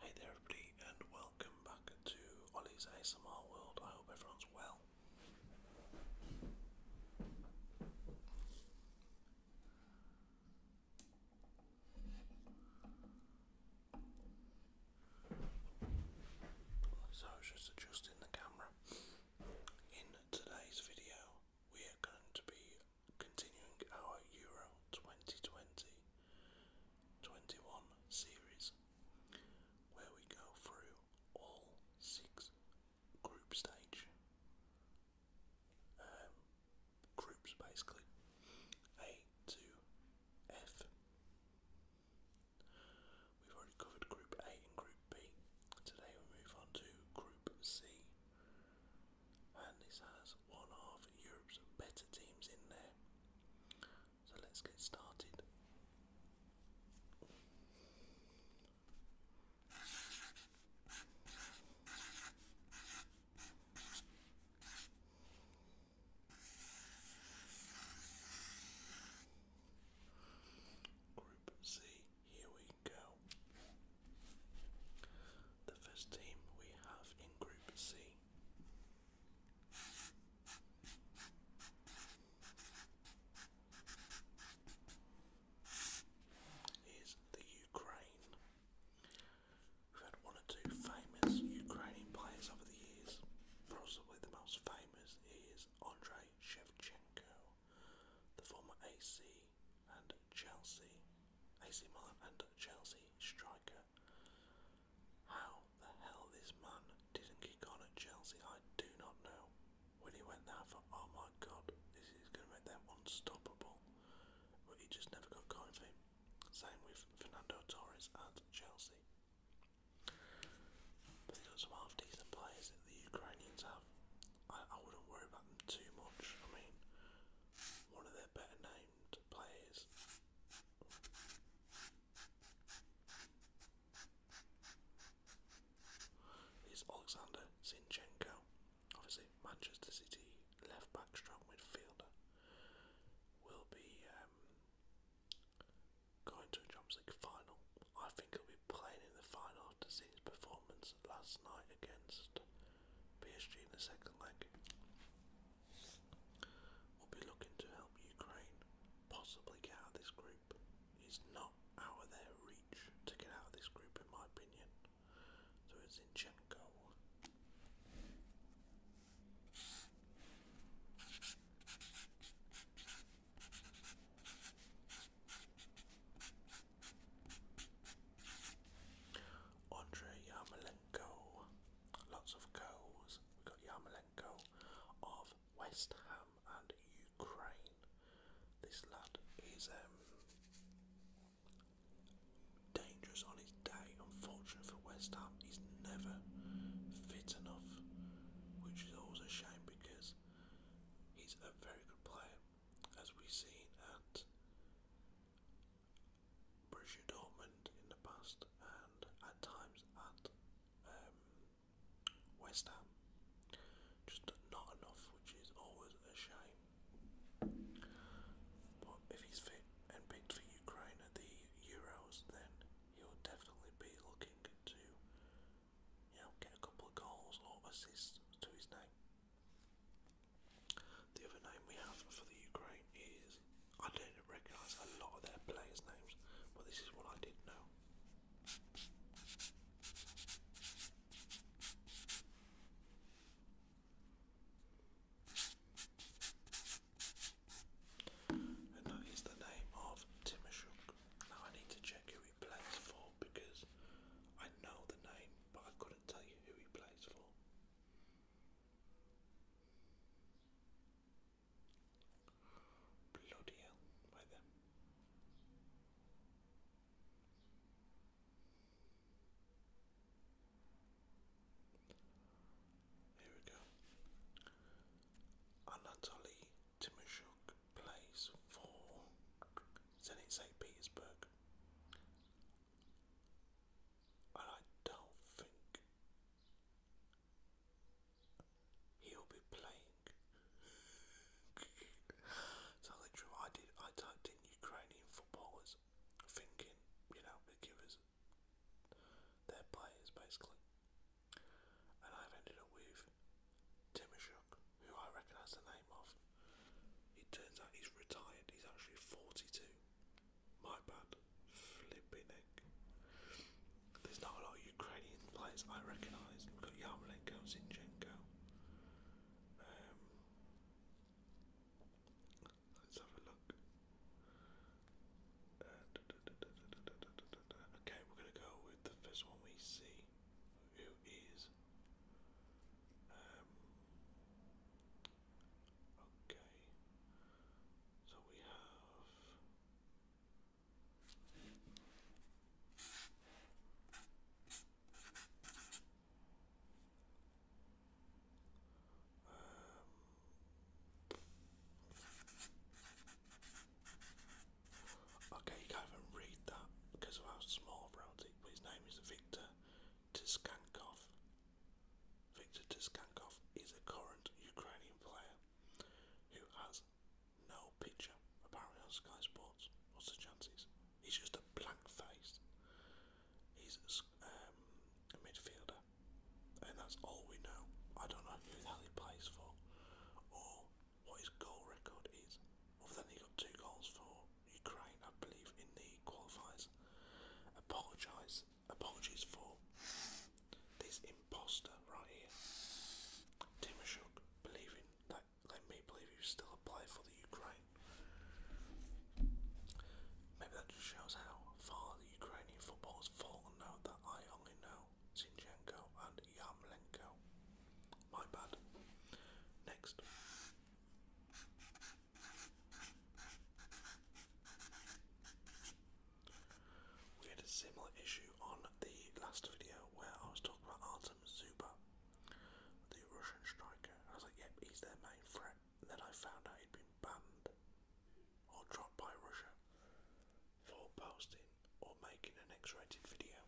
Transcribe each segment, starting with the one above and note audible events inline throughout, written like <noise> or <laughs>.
Hey there everybody and welcome back to Ollie's ASMR World. I hope everyone's well. So I was just adjusting the camera. In today's video, we are going to be continuing our Euro 2020 series where we go through all six group stage. Um, groups basically A to F. We've already covered Group A and Group B. Today we move on to Group C, and this has one of Europe's better teams in there. So let's get started. Group C, here we go. The first team we have in Group C is the Ukraine. We've had one or two famous Ukrainian players over the years. Possibly the most famous is Andrei Shevchenko, the former AC and Chelsea, AC Milan and Chelsea striker. How the hell this man didn't kick on at Chelsea, I do not know. When he went there, I oh my god, this is going to make them unstoppable. But he just never got going Same with Fernando Torres at Chelsea. But they've some half decent players that the Ukrainians have. I, I wouldn't worry about them too much. I mean, one of their better named players is Alexander Sinchenko, obviously Manchester City left back, strong midfielder, will be um, going to a Champions League final. I think he'll be playing in the final after seeing his performance last night against PSG in the second leg. We'll be looking to help Ukraine possibly get out of this group group. It's not out of their reach to get out of this group, in my opinion. So it's Zinchenko. Andre Yarmolenko, lots of goals. we got Yarmolenko of West Ham and Ukraine. This lad is um, dangerous on his day. Unfortunately for West Ham, he's never fit enough, which is always a shame because he's a very good player, as we've seen at Borussia Dortmund in the past and at times at um, West Ham. Just not enough, which is always a shame. But if he's picked for Ukraine at the Euros, then he'll definitely be looking to, you know, get a couple of goals or assists to his name. The other name we have for the Ukraine is I didn't recognise a lot of their players' names, but this is what I did know. And that is the name of Timoshuk. Now I need to check who he plays for because I know the name, but I couldn't tell you who he plays for. Bloody hell, Here we go. Anatoly Timoshuk plays for Zenit St. Petersburg. I don't He'll be playing. so <laughs> literally, I did. I typed in Ukrainian footballers, thinking, you know, they give us their players basically, and I've ended up with Timoshuk, who I recognise the name of. It turns out he's retired. He's actually forty-two. My bad. Flipping egg. There's not a lot of Ukrainian players I recognise. We've got Yarmolenko, Zinchenko. Um, let's have a look. Okay, we're going to go with the first one we see, who is. Um, okay, so we have. Um, okay, you can't even read that because of how small around but his name is Victor Tiskankov. Victor Tiskankov is a current Ukrainian player who has no picture apparently on Sky Sports. What's the chances? He's just a blank face. He's um, a midfielder, and that's all we know. I don't know who the he plays for or what his goal record is. Other he got two goals for Ukraine, I believe, in the qualifiers. Apologise, apologies for this. Im imposter right here. Timoshuk believing that let me believe he still a for the Ukraine. Maybe that just shows how far the Ukrainian football has fallen now that I only know Zinchenko and Yarmolenko. My bad. Next. We had a similar issue on the last video where I was talking about Artem Zuba, the Russian striker. I was like, yep, he's their main threat. And then I found out he'd been banned or dropped by Russia for posting or making an X-rated video.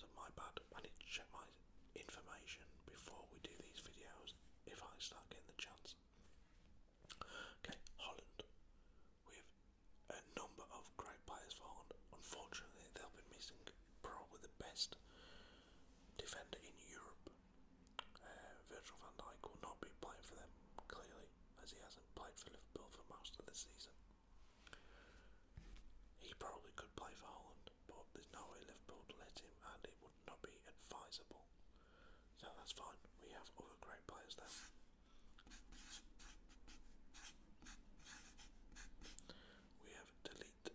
So my bad. I need to check my information before we do these videos if I start getting the chance. Okay, Holland. We have a number of great players for Holland. Unfortunately, they'll be missing probably the best defender in Europe. Uh, Virgil van Dijk will not be playing for them, clearly, as he hasn't played for Liverpool for most of the season. He probably could play for Holland, but there's no way Liverpool would let him, and it would not be advisable. So that's fine. We have other great players there. We have Delete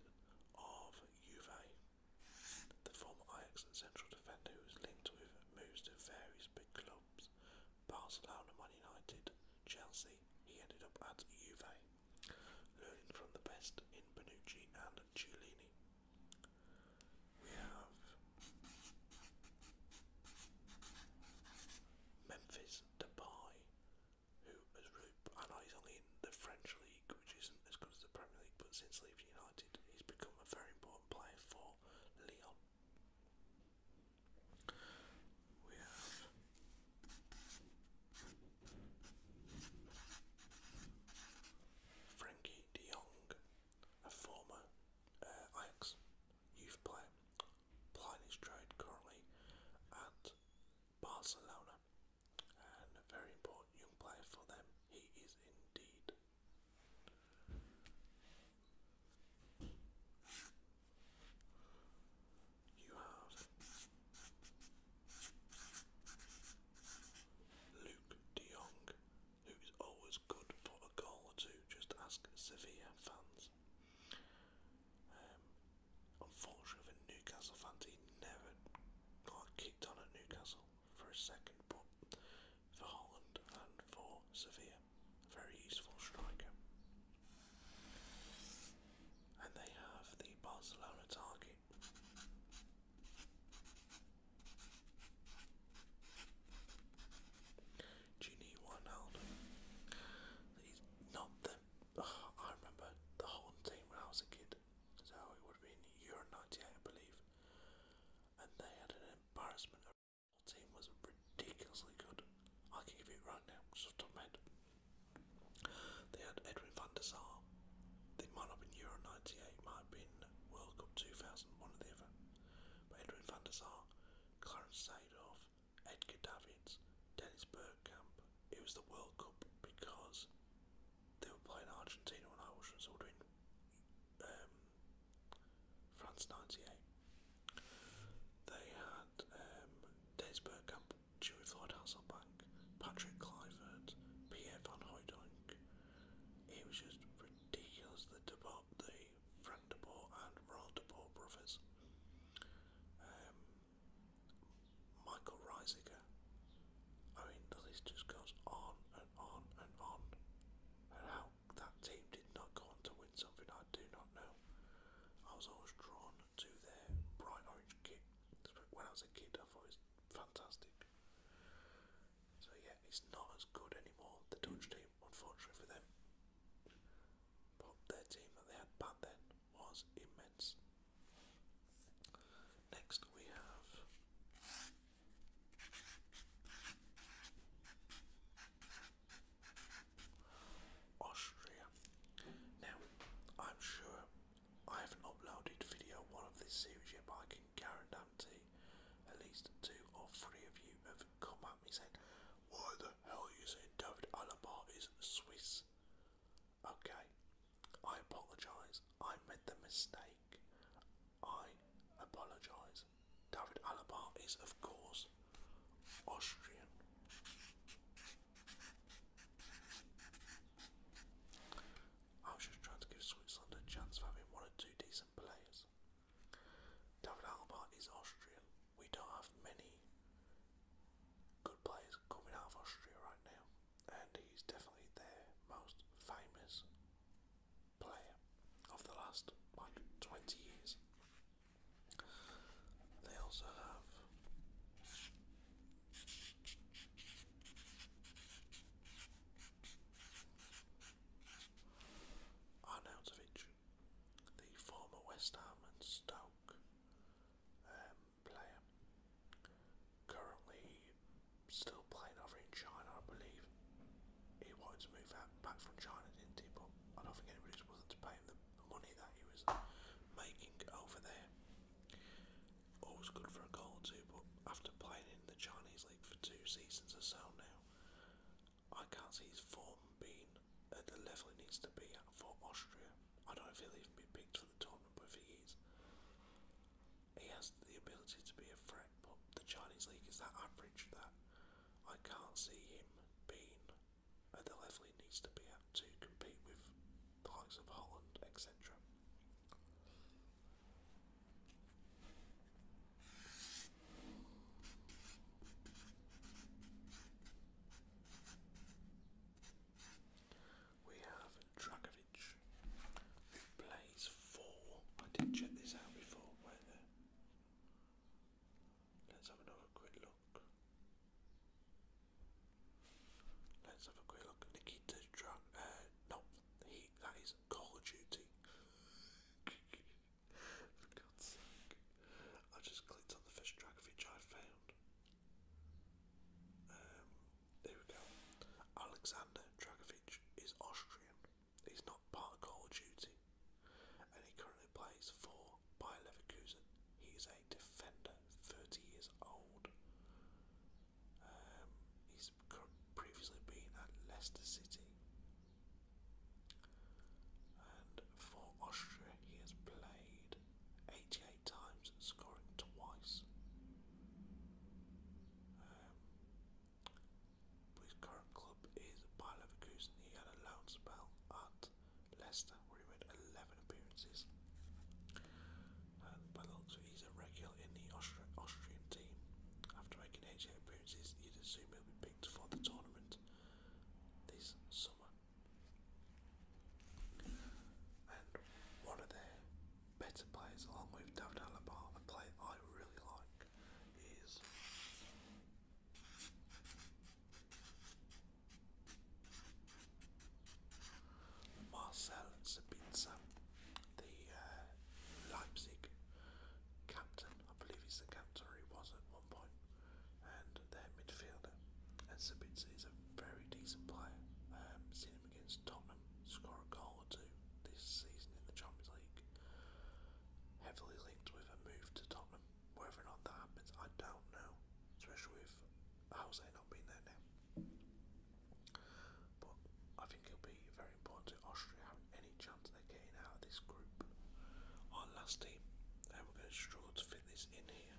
of Juve, the former Ajax central defender who is linked with moves to various big clubs, Barcelona, Man United, Chelsea. He ended up at Juve, learning from the best in Benucci and Cialini. We have Memphis Depay, who really. I know he's only in the French league, which isn't as good as the Premier League, but since leaving United, he's become a very important player for Lyon. We have. Frankie de Jong, a former uh, Ajax youth player, playing his trade currently at Barcelona, and a very important young player for them. He is indeed. You have Luke De Jong who is always good for a goal or two. Just ask Sevilla fans. Um, unfortunately, Newcastle fans, he never got kicked on at Newcastle for a second, but for Holland and for Sevilla, a very useful striker. And they have the Barcelona target. Genie Wijnaldum. He's not the. I remember the whole team when I was a kid. So it would have been Euro 98, I believe. And they had an embarrassment. The whole team was ridiculously good. I can give it right now, just off the head. They had Edwin van der Sar. They might have been Euro 98, might have been World Cup 2000, or the other by Edwin van der Sar, Clarence Seedorf, Edgar Davids, Dennis Bergkamp. It was the World Cup because they were playing Argentina and I was sort of in um, France 98. They had um, Dennis Bergkamp, Dewey Floyd Hasselbank, Patrick Clivert, Pierre Van Hooydonk. It was just deals the deport, the Frank Deport and Royal Deport brothers. Um, Michael Reisinger. I mean, the list just goes on and on and on. And how that team did not go on to win something, I do not know. I was always drawn to their bright orange kit. When I was a kid, I thought it fantastic. So yeah, it's not as good anymore, the Dutch team, unfortunately for them. But their team that they had back then was immense. Next we have Austria. Now, I'm sure I haven't uploaded video one of this series yet, I can guarantee at least two or three of you have come at me saying, Why the hell are you saying David Alaba is Swiss? Okay, I apologise. I made the mistake. I apologise. David Alaba is, of course, Austrian. I am just trying to give Switzerland a chance of having one or two decent players. David Alba is Austrian. We don't have many good players coming out of Austria right now, and he's definitely their most famous player of the last like 20 years. They also have. Arnautovic, the former West Ham and Stoke um, player, currently still playing over in China, I believe. He wanted to move out back from China, didn't he? But I don't think anybody was willing to pay him the money that he was making over there. Always good for a goal or two, but after playing in the Chinese for two seasons or so now. I can't see his form being at the level it needs to be for Austria. I don't feel he has been picked for the tournament, but if he is, he has the ability to be a threat. But the Chinese league is that average that I can't see him being at the level he needs to be at to compete with the likes of Holland, etc. We have Dragovic, who plays four. I did check this out before. Where the Let's have another quick look. Let's have a quick look. Nikita Drag. Uh, no, he. That is Call of Duty. <laughs> For God's sake. I just clicked on the first track I found. Um, there we go. Alexander Dragovic is Austrian. He's not part of Call of Duty. And he currently plays for by Leverkusen. He is a defender, 30 years old. Um, he's previously been at Leicester City. And for Austria, he has played 88 times, scoring twice. Um, but his current club is Bayer Leverkusen. He had a loan spell at Leicester, where he made 11 appearances by looks he's a regular in the Austrian team. After making 88 appearances, you'd assume he'll be picked for the tournament this summer. And one of their better players, along with David Alaba, a player I really like, is. Marcel Sabitzer, the uh, Leipzig captain, I believe he's the captain or he was at one point, and their midfielder. And Sabitzer is a very decent player. Um, seen him against Tottenham score a goal or two this season in the Champions League. Heavily linked with a move to Tottenham. Whether or not that happens, I don't know, especially with Jose not being there now. But I think it'll be very important to Austria having any chance they're getting out of this group. Our last team, we're going to struggle to fit this in here.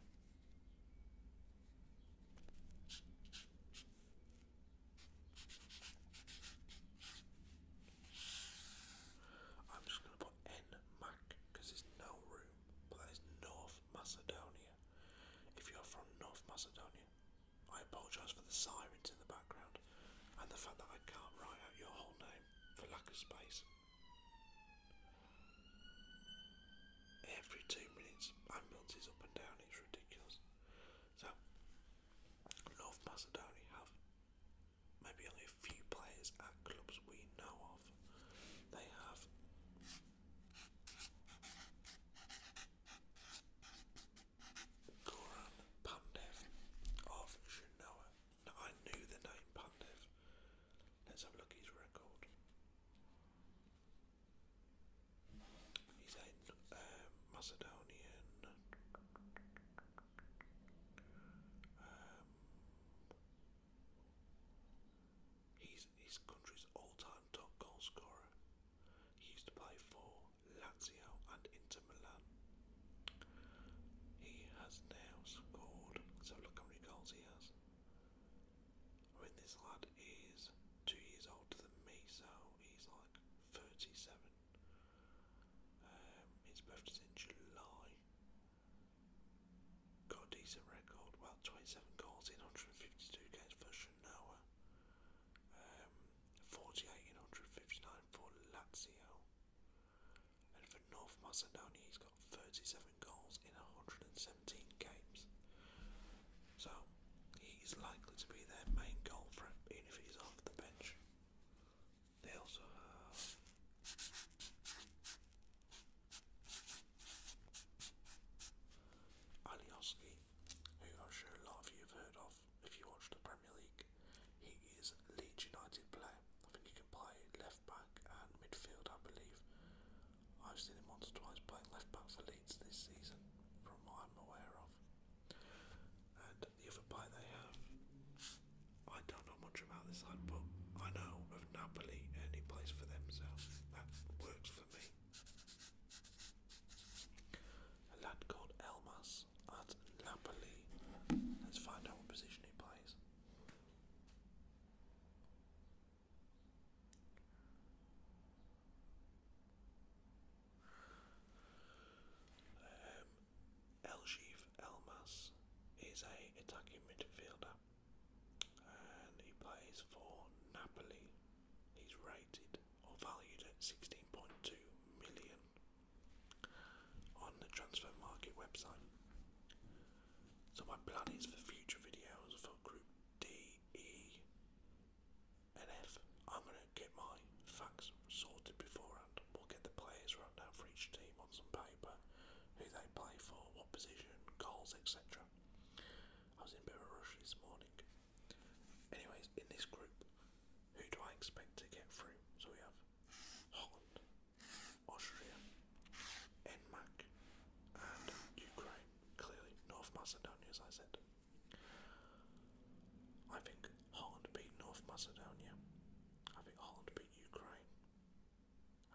I'm just going to put N Mac because there's no room, but that is North Macedonia. If you're from North Macedonia, I apologise for the sirens in the background and the fact that I can't write out your whole name for lack of space. Every two minutes, ambulances up and down, it's ridiculous. So, North Macedonia have maybe only a few players at clubs we know of. They have Goran Pandev of Genoa. I knew the name Pandev. Let's have a look at his record. He's a um, Macedonian. Um, he's his country's all-time top goal scorer. He used to play for Lazio and Inter Milan. He has now scored, so look how many goals he has. I mean, this lad is two years older than me, so he's like 37. Um, his birthday's in July. Got a decent record, well, 27 goals in 152 games for Shanoa. Um, hundred fifty-nine for Lazio. And for North Macedonia, he's got 37 goals in 117 games. So, he's likely to be their main goal for even if he's off the bench. They also have. Alioski who I'm sure a lot of you have heard of if you watch the Premier League. He is Leeds United player. I think he can play left back and midfield, I believe. I've seen him once or twice playing left back for Leeds this season, from what I'm aware of. And the other player they have, I don't know much about this side, but I know of Napoli any place for themselves. that works for me. A lad called Elmas at Napoli. Let's find out what position he plays. Um, Elmas is a attacking midfielder, and he plays for Napoli. He's rated or valued at 16.2 million on the transfer market website. So my plan is for future videos for group D, E and F, I'm going to get my facts sorted beforehand. We'll get the players right for each team on some paper, who they play for, what position, goals, etc. I was in a bit of a rush this morning. Anyways, in this group, who do I expect to get through? So we have Holland, Austria, Enmac, and Ukraine. Clearly, North Macedonia, as I said. I think Holland beat North Macedonia. I think Holland beat Ukraine.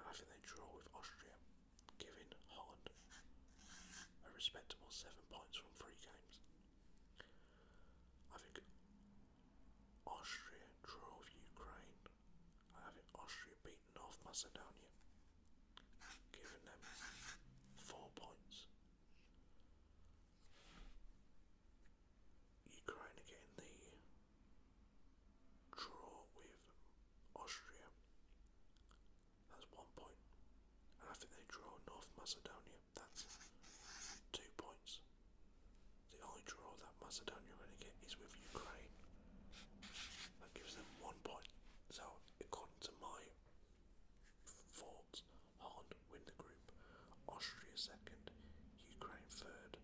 And I think they draw with Austria giving Holland a respectable seven points from three games. I think Austria drove Ukraine. I Austria beat North Macedonia, giving them four points. Ukraine getting the draw with Austria that's one point and I think they draw North Macedonia that's two points the only draw that Macedonia are get is with Ukraine that gives them one point so according to my thoughts Holland win the group Austria second Ukraine third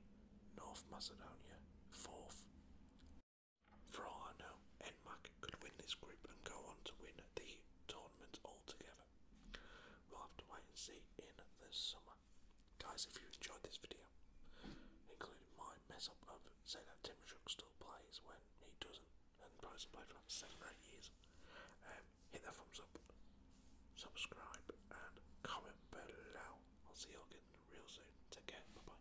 North Macedonia fourth for all I know, NMAC could win this group and go on to win the tournament altogether. We'll have to wait and see in the summer. Guys, if you enjoyed this video, including my mess up of saying that Tim Shook still plays when he doesn't, and probably for like seven eight years, um, hit that thumbs up, subscribe, and comment below. I'll see you all again real soon. Take care. Bye bye.